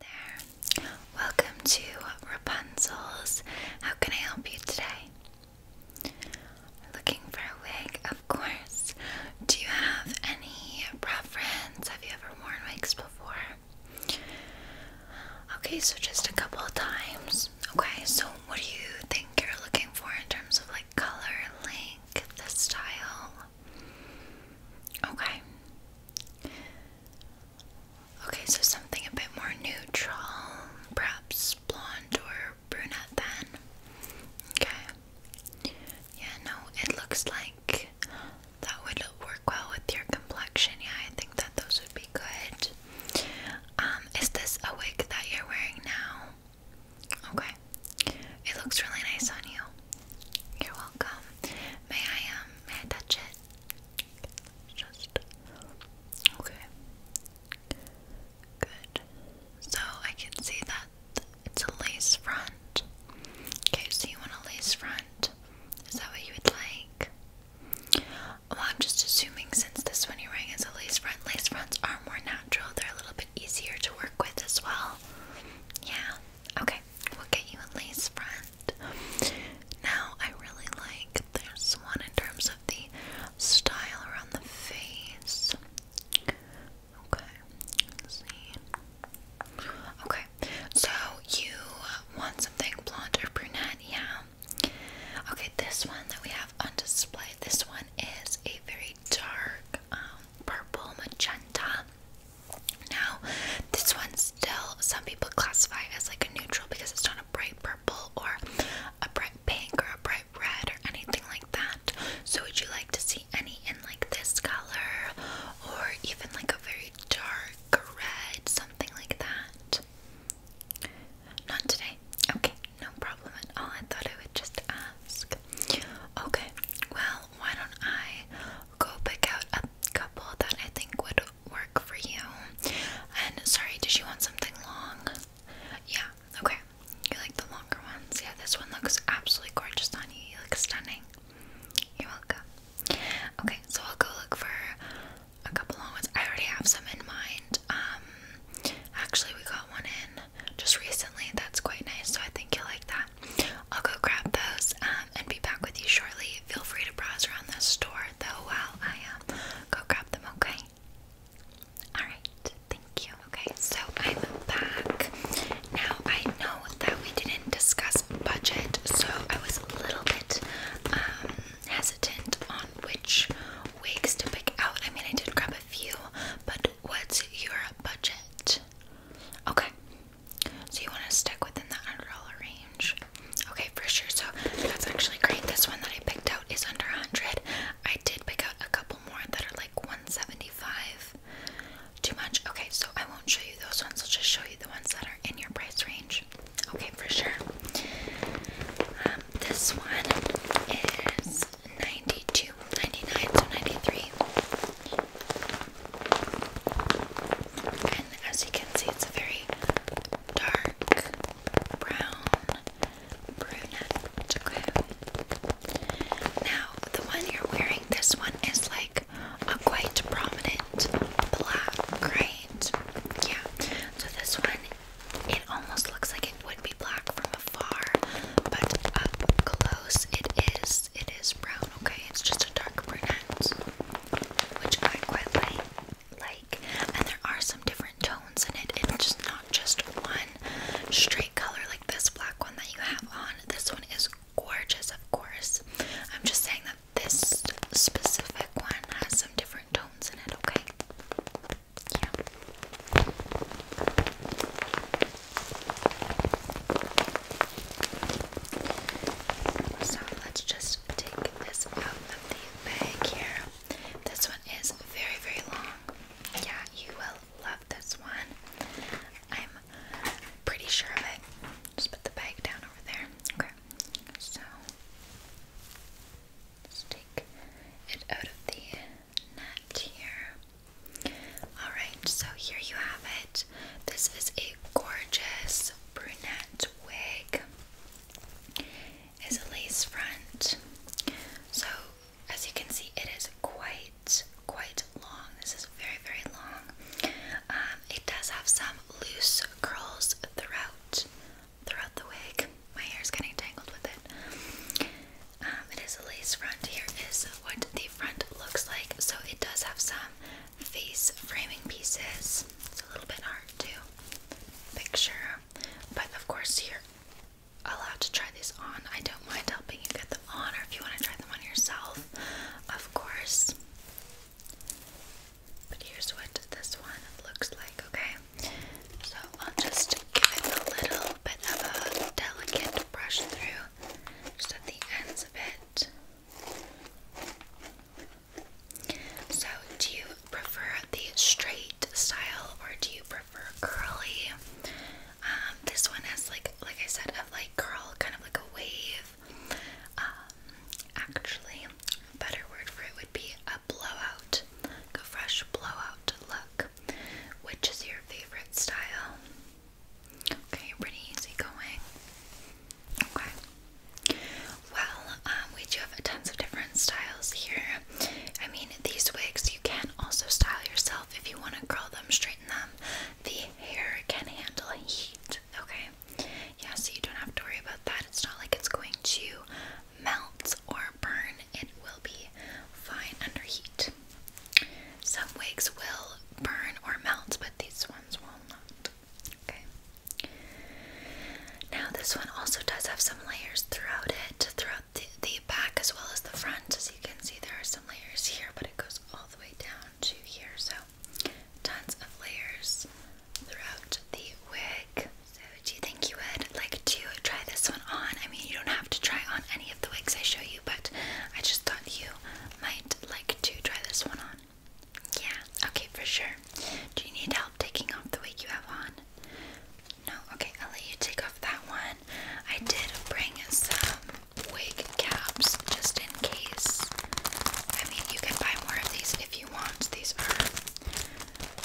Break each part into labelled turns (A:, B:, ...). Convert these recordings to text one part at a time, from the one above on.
A: there. Welcome to Rapunzel's. How can I help you today? Looking for a wig, of course. Do you have any preference? Have you ever worn wigs before? Okay, so just a couple of times. Okay, so what do you think you're looking for in terms of like color, length, the style? Okay. Okay, so something a bit more neutral, perhaps blonde or brunette then. Okay. Yeah, no, it looks like that would work well with your complexion. Yeah, I think that those would be good. Um, is this a wig that you're wearing now? Okay. It looks really nice on you. You're welcome. May I um may I touch it? Just okay. Good. So I can see that it's a lace front. Okay, so you want a lace front? Is that what you would like? Well, I'm just assuming since this one you're wearing is a lace front, lace fronts are more natural. They're a little bit easier to work with as well. Yeah. Okay, we'll get you a lace front. Now, I really like this one in terms of the style around the face. Okay, see. Okay, so you want something blonde or brunette? Yeah. Okay, this one that we have on display, this one is a very dark um, purple magenta. Now, this one still some people classify as like a neutral because it's not a bright purple or a bright pink or a bright red or anything like that. So would you like to see any in like this color or even like a very dark red, something like that? Not today. Okay, no problem at all. I thought I would just ask. Okay, well, why don't I go pick out a couple that I think would work for you. And sorry, did you want something long? Yeah, okay. You like the longer ones? Yeah, this one looks absolutely gorgeous on you. You look stunning. You're welcome. Okay, so I'll go look for a couple long ones. I already have some in mind. Um, actually, we got one in just recently that's quite nice, so I think you'll like that. I'll go grab those um, and be back with you shortly. Feel free to browse around the store though while I um, go grab them, okay? Alright, thank you. Okay, so I'm back. Now I know that we didn't discuss budget, so I was a little bit um, hesitant on which wigs to pick out. I mean, I did grab a few, but what's your budget? Okay, so you want to stick within that $100 range? Okay, for sure. So that's actually great. This one that I picked out is under 100 I did pick out a couple more that are like 175 Too much? Okay, so I won't show you those ones. I'll just show you the ones that are in your price range. Okay, for sure. Um, this one is 92 99 so 93 and as you can see, it's a very dark brown brunette. Now, the one you're wearing, this one is like a quite prominent black, right? Yeah. So this one, it almost looks like it would be black from afar, but up close, it is. It is brown, okay? It's just a dark brunette which I quite like. Like, and there are some different tones in it. It's just not just one straight color like this black one that you have on. This one is gorgeous, of course. I'm just saying that this specific one has some different tones in it. Okay. Yeah. So let's just take this out of the bag here. This one is very, very long. Yeah, you will love this one. I'm pretty sure of it. Just put the bag down over there. Okay, so let's take it out of the net here. Alright, so here you have it. This is a gorgeous brunette wig. Is a lace front. So as you can see, it is quite quite long. This is very very long. Um, it does have some loose curls throughout throughout the wig. My hair is getting tangled with it. Um, it is a lace front. Here is what the front looks like. So it does have some face framing pieces. It's a little bit hard to picture, but of course, you're allowed to try these on. I don't mind helping you get them on, or if you want to try them on yourself, of course. But here's what this one looks like, okay? So I'll just give it a little bit of a delicate brush through just at the ends of it. So, do you prefer the straight style or do you prefer curly? Um, this one has like, like I said, a like curl, kind of like a wave. Um, actually, a better word for it would be a blowout, like a fresh blowout look. Which is your favorite style? Okay, pretty easy Okay. Well, um, we do have tons of different styles here. I mean, these wigs you can also style yourself if you want to curl them, straighten them. The hair can handle heat. Okay. Yeah, so you don't have to worry about that. It's not like it's going to melt or burn. It will be fine under heat. Some wigs will burn or melt, but these ones will not. Okay. Now this one also does have some layers throughout it, throughout the, back as well as the front. As you can see, there are some layers here, but it goes all the way down to here. So tons of layers throughout the wig. So do you think you would like to try this one on? I mean, you don't have to try on any of the wigs I show you, but I just thought you might like to try this one on. Yeah, okay, for sure. Do you need help taking off the wig you have on? No? Okay, I'll let you take off that one. I did bring some wig caps just in case. I mean, you can buy more of these if you want. These are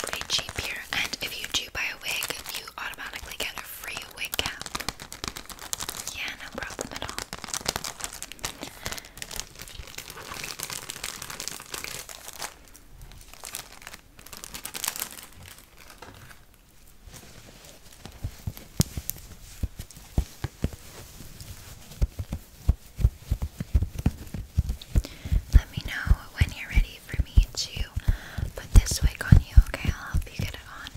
A: pretty cheap here. And if you do buy a wig, you automatically get a free wig cap. Yeah, no problem at all. Let me know when you're ready for me to put this wig on you, okay? I'll help you get it on.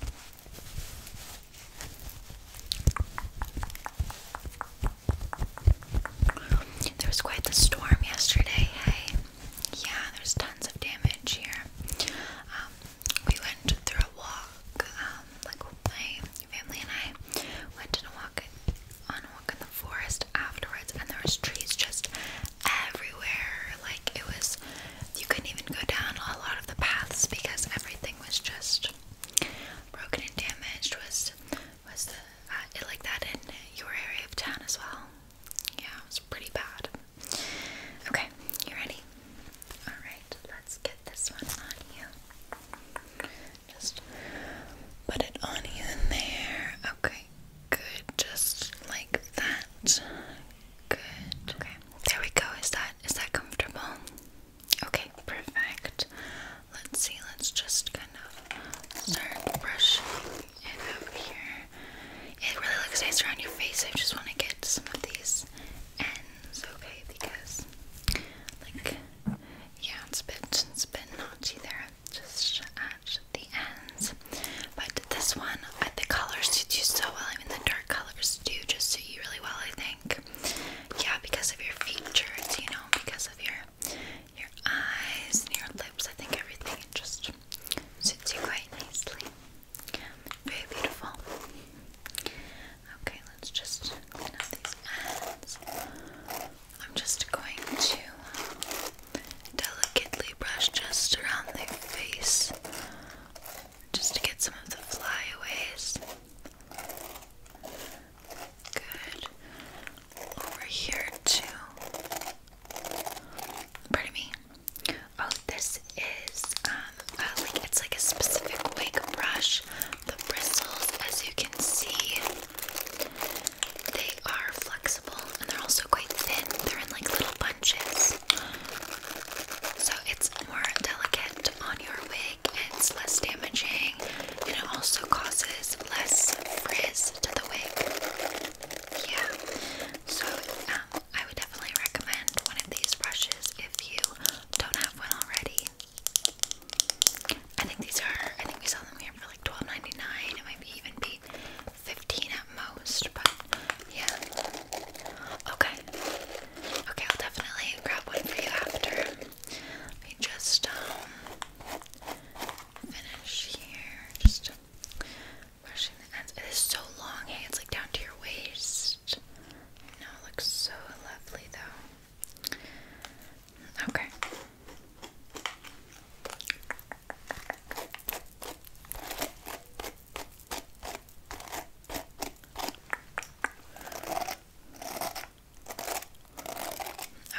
A: There was quite the storm yesterday, hey? Yeah, there's tons of damage here. Um, we went through a walk, um, like my family and I went on a walk in the forest afterwards and there was trees just everywhere. Like it was you couldn't even go down a lot of the paths because everything was just Broken and damaged was was the uh, like that in your area of town as well. Yeah, it was pretty bad. Okay, you ready? All right, let's get this one on you. Just put it on you in there. Okay, good. Just like that. Good. Okay, there we go. Is that is that comfortable? Okay, perfect. Let's see, let's just kind of start brushing it out here. It really looks nice around your face. I just want to get some of these ends, okay? Because, like, yeah, it's a bit, it's a bit notchy there. Just at the ends. But this one, I the colors did you so well. I mean, the dark colors do just suit you really well, I think yeah, because of your features, you know, because of your your eyes and your lips. I think everything just suits you quite nicely. Very beautiful. Okay, let's just clean up these ends. I'm just going to delicately brush just around the face just to get some of the flyaways. Good. Over here too. Pardon me. Oh, this is um it's like a specific wig brush. The bristles, as you can see, they are flexible and they're also quite thin. They're in like little bunches. So it's more delicate on your wig. It's less damaging and it also causes less frizz to the wig. Yeah. So um, I would definitely recommend one of these brushes if you don't have one already. I think these are. I think we saw them here for like twelve ninety nine. It might be even be fifteen at most, but yeah. Okay. Okay, I'll definitely grab one for you after. Let me just um, finish here. Just uh, brushing the ends. It is so long, it's like down to your waist. I it looks so lovely though. Okay.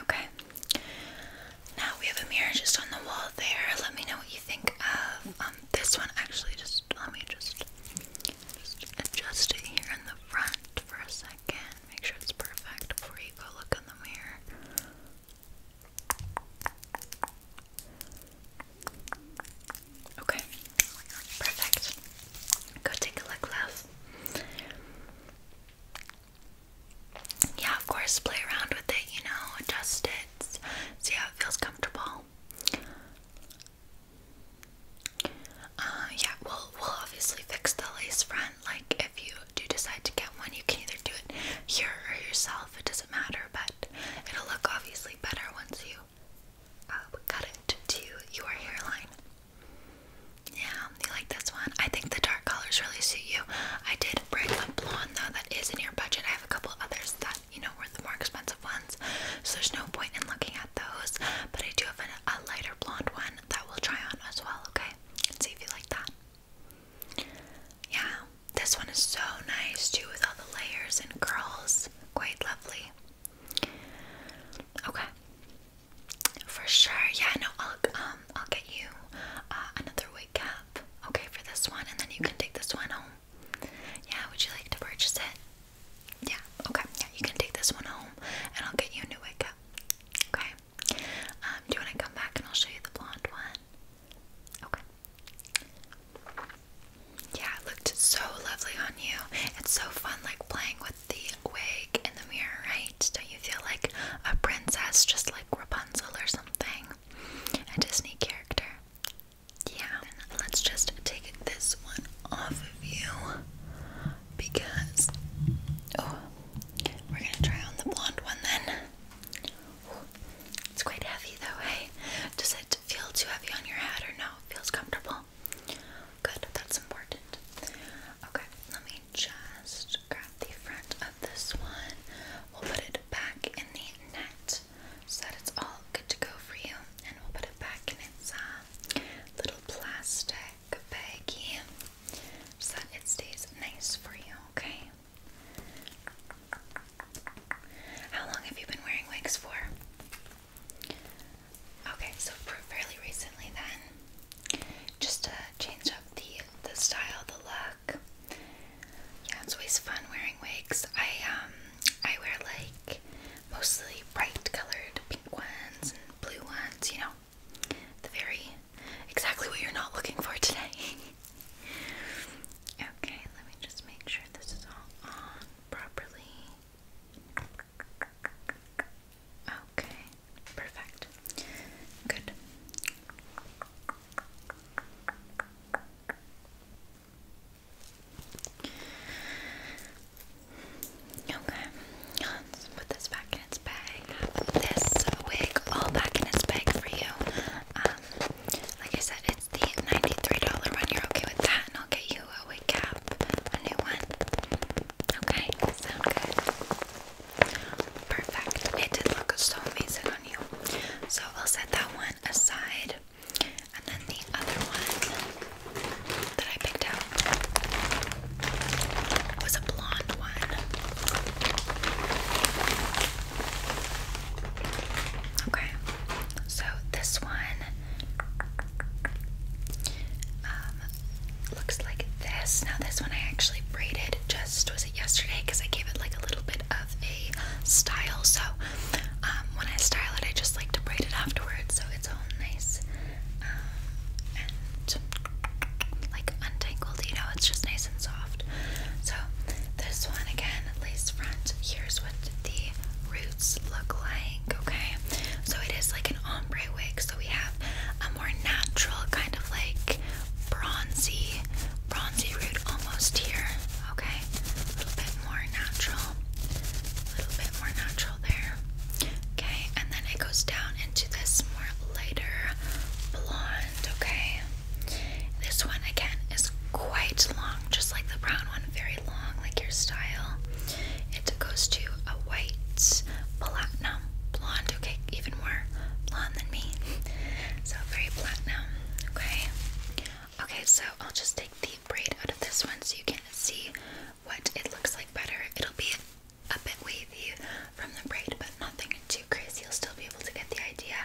A: Okay. Now we have a mirror just on the wall there. Let me know what you think of um, this one actually just let me just adjust it here in the front for a second. Make sure it's perfect before you go look in the mirror. Okay. Perfect. Go take a look, love yeah, of course, play around with it, you know, adjust it, see how it feels comfortable. Uh, yeah, we'll, we'll obviously fix the lace front. Like, if you do decide to get one, you can either do it here or yourself, it doesn't matter, but it'll look obviously better once you uh, cut it to your hairline. Yeah, you like this one? I think the dark colors really suit you. I did bring a blonde though that is in your budget. I have a couple others that you know were the more expensive ones, so there's no point in looking at those. But I do have a, a lighter blonde one that we'll try on as well. Okay, and see if you like that. Yeah, this one is so nice too with all the layers and curls. Quite lovely. Okay. For sure. Yeah, no, I'll um I'll get you uh, another wig cap, okay, for this one, and then you can take this one home. Yeah, would you like to purchase it? Yeah, okay. Yeah, you can take this one home and I'll get you a new wig cap. Okay. Um, do you wanna come back and I'll show you the blonde one? Okay. Yeah, it looked so lovely on you. It's so fun like playing with the wig in the mirror, right? So you feel like a princess, just like Rapunzel or something. A Disney character. Yeah. let's just take this one off of you because. Oh, we're gonna try on the blonde one then. It's quite heavy though, hey? Does it feel too heavy on your head or no? It feels comfortable. Good, that's important. Okay, let me just grab the front of this one. We'll put it back in the net so that it's all good to go for you. And we'll put it back in its uh, little plastic baggie so that it stays nice for you, okay? How long have you been wearing wigs for? Okay, so fairly recently then, just to change up the the style, the look. Yeah, it's always fun wearing wigs. I um I wear like mostly bright colored pink ones and blue ones. You know, the very exactly what you're not looking for today. okay, let me just make sure this is all on properly. Okay, perfect. Good. Okay, let's put this back in its bag. This wig all back in its bag for you. Um, like I said, it's the $93 one. You're okay with that, and I'll get you a wig cap, a new one. Okay, sound good. Perfect. It did look so amazing on you. So I'll set that one aside. And then the other one that I picked out was a blonde one. Okay, so this one um, looks like this. Now this one I actually braided just was it yesterday because I gave it like a little bit of a style. So um, when I style it, I just like to braid it afterwards, so it's all nice um, and like untangled. You know, it's just nice and soft. So this one again, lace front. Here's what the roots look like. Okay, so it is like an ombre wig. So we have a more natural kind of like bronzy, bronzy root almost here. Okay, a little bit more natural, a little bit more natural there. Okay, and then it goes down into this more lighter blonde. Okay, this one again is quite long, just like the brown one, very long, like your style. It goes to a white, platinum, blonde, okay, even more blonde than me. So very platinum, okay? Okay, so I'll just take the braid out of this one so you can see what it looks like better. It'll be a bit wavy from the braid, but nothing too crazy. You'll still be able to get the idea.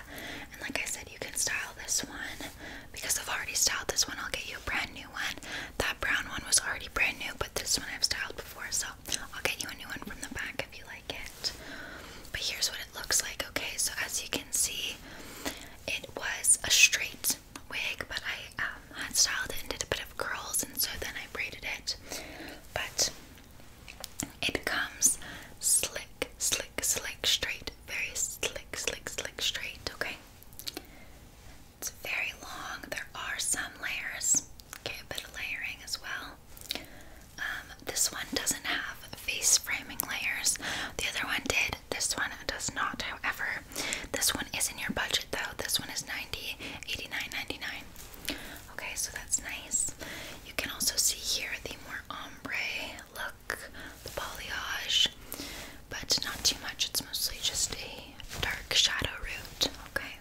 A: And like I said, you can style this one because I've already styled this one. I'll get you a brand new one. That brown one was already brand new, but this one I've styled before, so I'll get you a new one from the back if you like it. But here's what it looks like, okay? So as you can see, it was a straight wig, but I um, had styled it and did a bit of curls, and so then I braided it. But it comes slick, slick, slick, straight, very slick, slick, slick, straight, okay? It's very long. There are some layers. Okay, a bit of layering as well. Um, this one doesn't have face framing layers. The other one did. This one does not, however. This one is in your budget though. This one is 90 89 .99. Okay, so that's nice. You can also see here the more ombre look, the balayage, but not too much. It's mostly just a dark shadow root. Okay.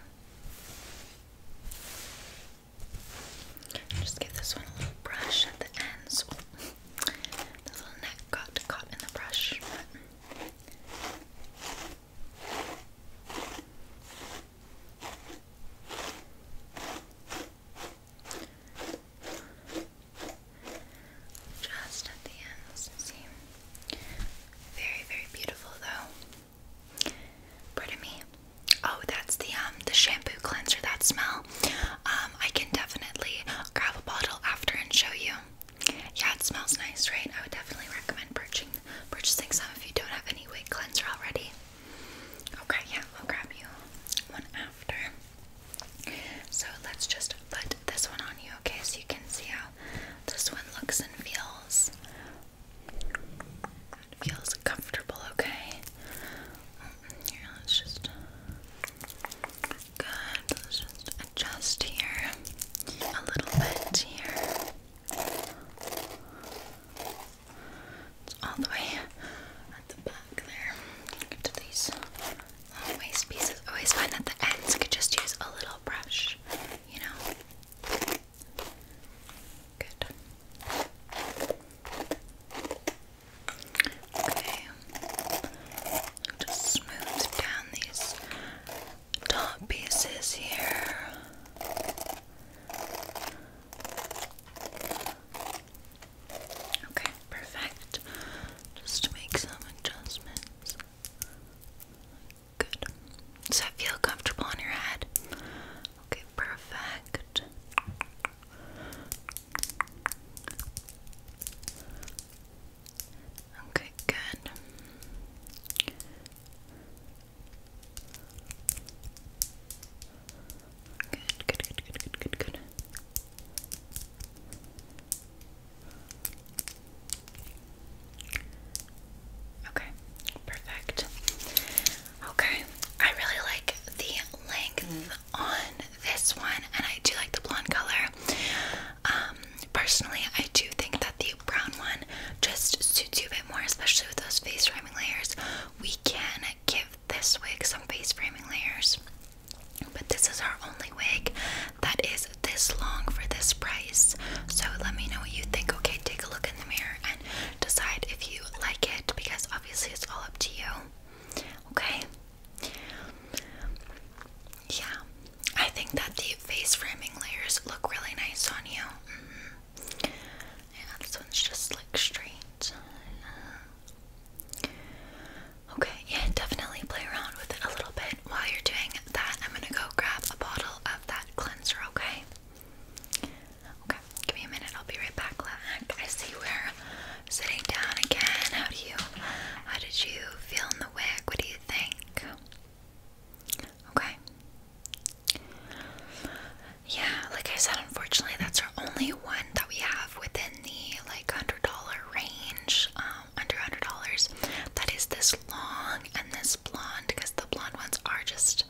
A: Just give this one a little brush at the ends. Oh, little neck got caught in the brush. just at the ends, see? Very, very beautiful though. Pardon me. Oh, that's the um the shampoo cleanser. That smell. Um, I can definitely grab a bottle after and show you. Yeah, it smells nice, right? I would definitely recommend purchasing purchasing some if you don't have any wig cleanser already. Okay, yeah, I'll grab you one after. So let's just put this one on you, okay? So you can see how this one looks and feels. It feels comfortable, okay? Here, let's just. Good. Let's just adjust here. A little bit here. It's all the way at the back there. Get to these waist pieces. Always find that the ends could just use a little brush, you know? Good. Okay. Just smooth down these top pieces here. Okay, perfect. Just to make some adjustments. Good. Does that feel comfortable on your head? Okay, perfect. Okay, good. Good, good, good, good, good, good, Okay, perfect. Okay, I really like the length on this one, and I do like the blonde color. Um, personally, I do think that the brown one just suits you a bit more, especially with those face framing layers. We can give this wig some face framing layers, but this is our only wig that is this long for this price. So let me know what you think. Okay, take a look in the mirror and decide if you like it because obviously it's all up to you. Okay? Yeah, I think that the face framing layers look really nice on you. Mm-hmm. Yeah, this one's just like straight. Okay, yeah, definitely play around with it a little bit while you're doing that. I'm gonna go grab a bottle of that that cleanser, okay? Okay, give me a minute, I'll be right back. I see we're sitting down again. How do you how did you feel in the wig? What do you think? Okay. Yeah, like I said, unfortunately that's our only one that we have within the like hundred dollar range, um, under hundred dollars. That is this long and this this blonde because the blonde ones are just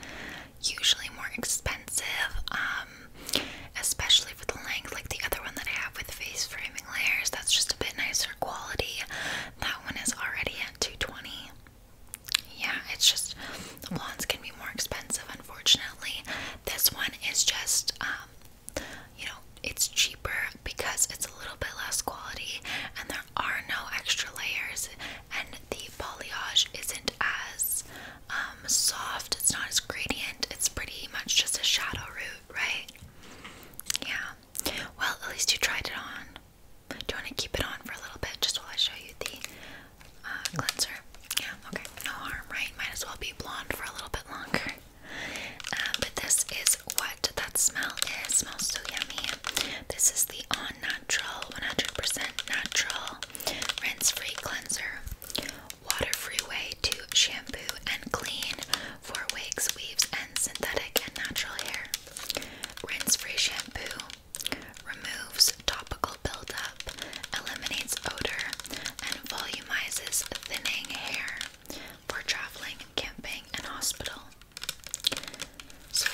A: usually more expensive, um, especially for the length. Like the other one that I have with face framing layers, that's just a bit nicer quality. That one is already at 220. Yeah, it's just blondes can be more expensive, unfortunately. This one is just, um, you know, it's cheaper because it's a little bit less quality and they're are no extra layers and the balayage isn't as um, soft, it's not as gradient, it's pretty much just a shadow root, right? Yeah. Well, at least you tried it on. Do you want to keep it on for a little bit just while I show you the uh, cleanser? Yeah, okay. No harm, right? Might as well be blonde for a little bit longer. Uh, but this is what that smell is. smells so yummy. This is the On 100% natural, rinse free cleanser, water free way to shampoo and clean for wigs, weaves, and synthetic and natural hair. Rinse free shampoo removes topical buildup, eliminates odor, and volumizes thinning hair for traveling, camping, and hospital. So,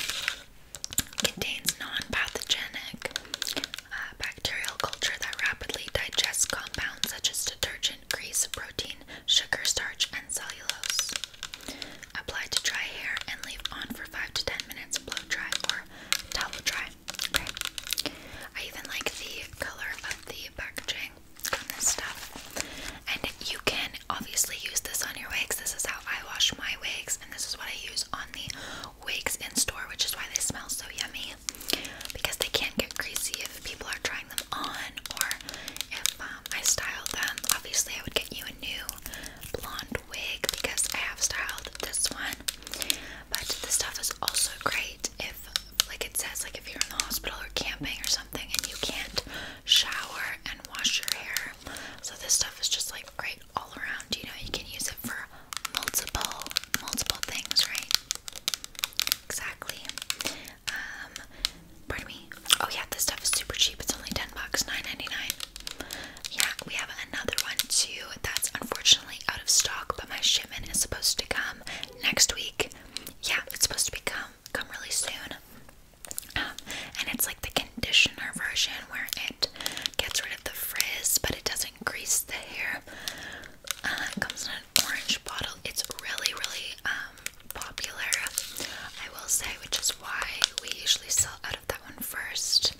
A: contains non-pathogenic uh, bacterial culture that rapidly digests compounds such as detergent, grease, protein, sugar, starch, and cellulose. Apply to dry hair and leave on for 5 to 10 minutes, blow dry or towel dry. I even like the color of the packaging on this stuff. And you can obviously use this on your wigs. This is how I wash my wigs, and this is what I use on the wigs in store, which is why they smell so yummy because they can't get greasy if people are trying them on or if um, I style them. Obviously, I would get you a new blonde wig because I have styled this one. But this stuff is also great if, like it says, like if you're in the hospital or camping or something and you can't shower and wash your hair so this stuff is just like great all around. You know, you can use it for multiple, multiple things, right? Exactly. Um, pardon me. Oh yeah, this stuff is super cheap. It's only ten bucks, nine ninety nine. Yeah, we have another one too. That's unfortunately out of stock, but my shipment is supposed to come next week. Yeah, it's supposed to be come come really soon and it's like the conditioner version where it gets rid of the frizz but it doesn't grease the hair. Uh, it comes in an orange bottle. It's really, really um, popular, I will say, which is why we usually sell out of that one first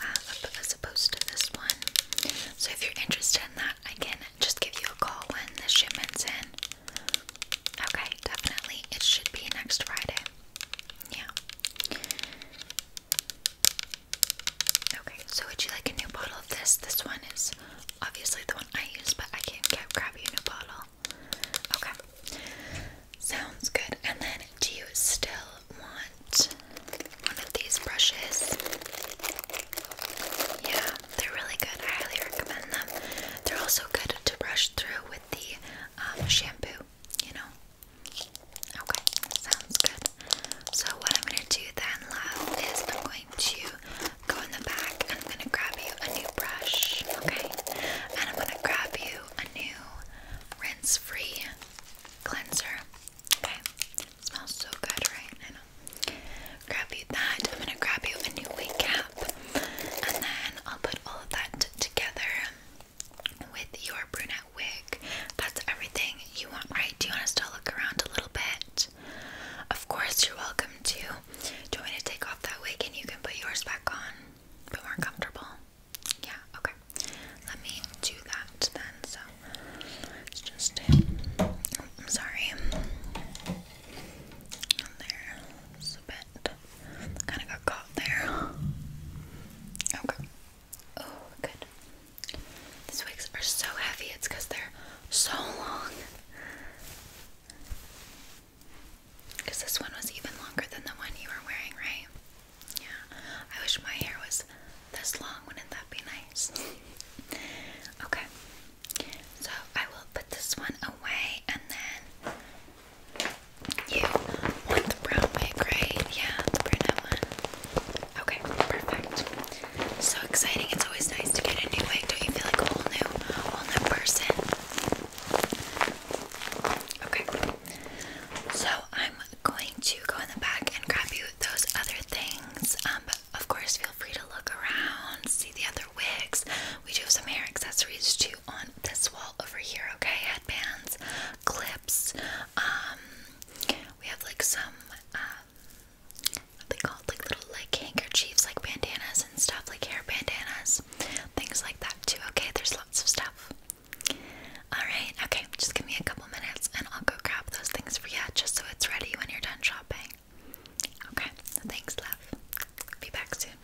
A: uh, as opposed to this one. So if you're interested in that, I can just give you a call when the shipment's in. Okay, definitely. It should be next Friday. Yeah. Okay, so would you like a new bottle of this? This one is obviously the one I use, but I can get, grab you a new bottle. Okay, sounds good. And then, do you still want one of these brushes? Yeah, they're really good. I highly recommend them. They're also good to brush through with the um, shampoo you know? Okay, sounds good. So what I'm gonna do then, love, is I'm going to go in the back and I'm gonna grab you a new brush, okay? And I'm gonna grab you a new rinse-free cleanser, okay? It smells so good, right? I know. Grab you that. I'm gonna grab you a new wig cap, and then I'll put all of that together with your brunette wig. That's everything you want, right? Do you want us to look around a little bit? Of course, you're welcome to. Do you want me to take off that wig and you can put yours back on? But more comfortable? Yeah, okay. Let me do that then. So, it's just. I'm sorry. And a bit. Kind of got caught there. Okay. Oh, good. These wigs are so heavy, it's they're so long. this one was even longer than the one you were wearing, right? Yeah. I wish my hair was this long. Wouldn't that be nice? okay. So I will put this one away and then you want the brown wig, right? Yeah, the brunette one. Okay, perfect. So exciting. It's always nice to get a new wig. Don't you feel like a whole new, whole new person? Okay. So I'm going to go in the back and grab you those other things. Um, of course, feel free to look around, see the other wigs. We do have some hair accessories too on this wall over here, okay? headbands, clips. Um, we have like some um, what they called like little like handkerchiefs, like bandanas and stuff, like hair bandanas, things like that too. Okay, there's lots of stuff. All right, okay, just give me a couple minutes and I'll go grab those things for you, just so it's ready when you're done shopping. Okay, thanks, love. Be back soon.